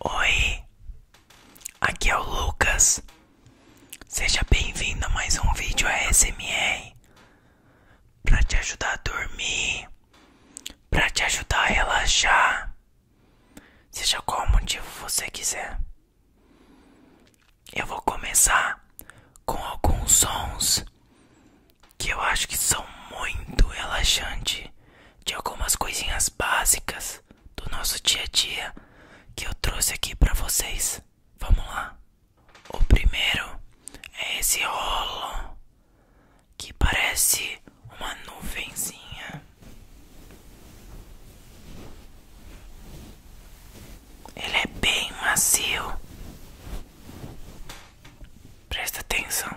Oi, aqui é o Lucas. Seja bem-vindo a mais um vídeo ASMR para te ajudar a dormir para te ajudar a relaxar, seja qual motivo você quiser. Eu vou começar com alguns sons que eu acho que são muito relaxantes de algumas coisinhas básicas do nosso dia a dia que eu trouxe aqui para vocês. Vamos lá. O primeiro é esse rolo que parece uma nuvenzinha. Ele é bem macio. Presta atenção.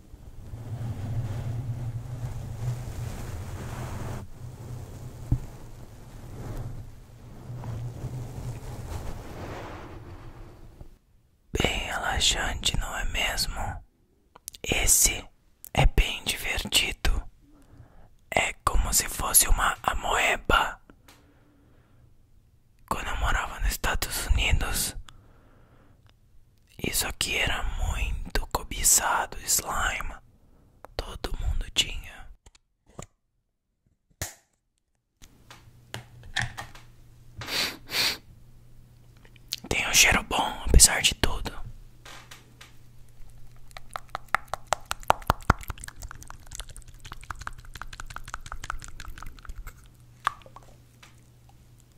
Bem relaxante, não é mesmo? Esse é bem divertido. É como se fosse uma amoeba. Quando eu morava nos Estados Unidos, isso aqui era muito cobiçado, slime. Todo mundo tinha. Tem um cheiro bom, apesar de tudo.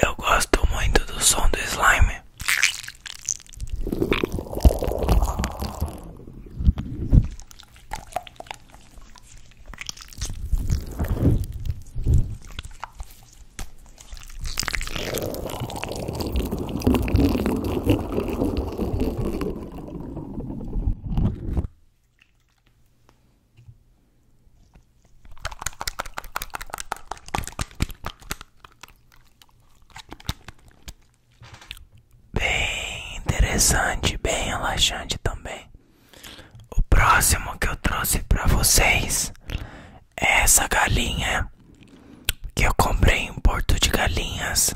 Eu gosto muito do som do slime. Bem interessante, bem relaxante também. O próximo que eu trouxe para vocês é essa galinha que eu comprei em Porto de Galinhas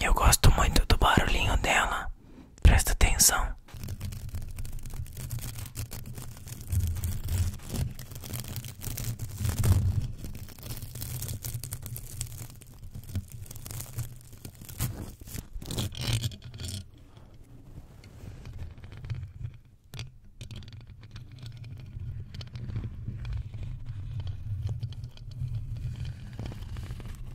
eu gosto muito do barulhinho dela. Presta atenção.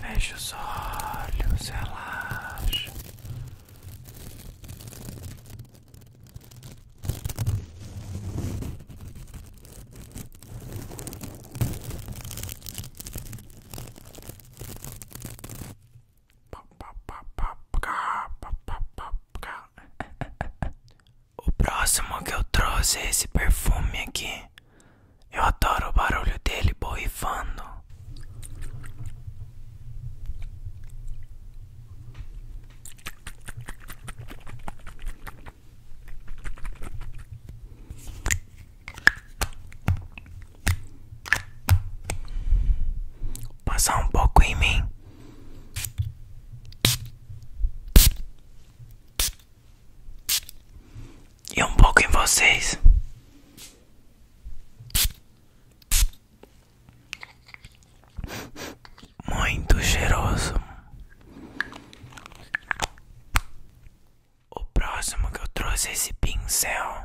Veja os olhos, relaxa. O próximo que eu trouxe é esse perfume aqui. Eu adoro o barulho dele borrifando. Passar um pouco em mim e um pouco em vocês. Muito cheiroso. O próximo que eu trouxe é esse pincel.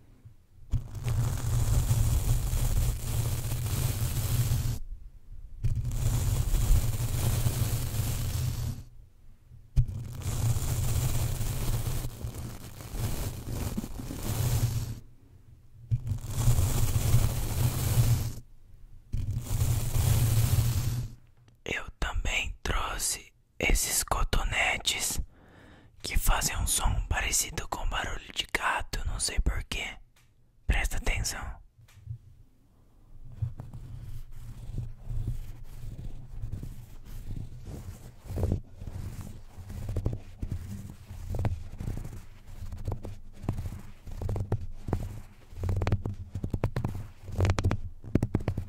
Eu também trouxe esses cotonetes que fazem um som parecido com barulho de gato, não sei porquê. Presta atenção.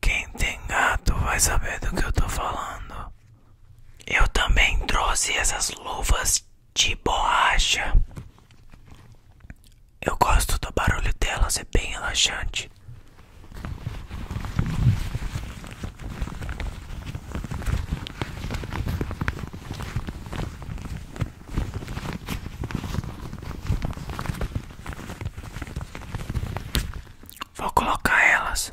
Quem tem gato vai saber do que eu tô falando. Eu também trouxe essas luvas de borracha. Eu gosto do barulho delas, é bem relaxante. Vou colocar elas.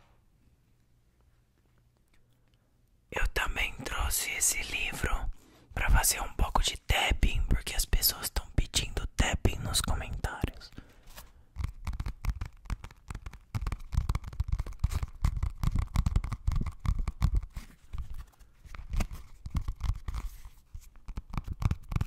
Eu também trouxe esse livro para fazer um pouco de tapping, porque as pessoas estão pedindo tapping nos comentários.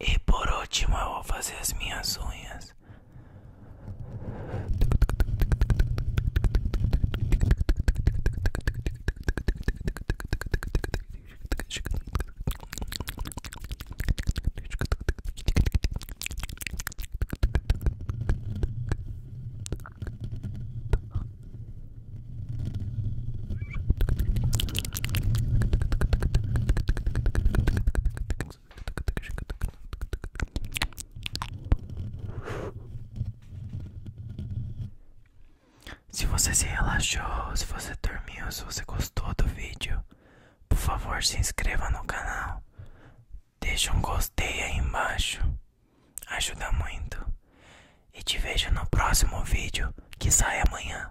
E por último, eu vou fazer as minhas unhas. Se você se relaxou, se você dormiu, se você gostou do vídeo, por favor se inscreva no canal. deixe um gostei aí embaixo. Ajuda muito. E te vejo no próximo vídeo que sai amanhã.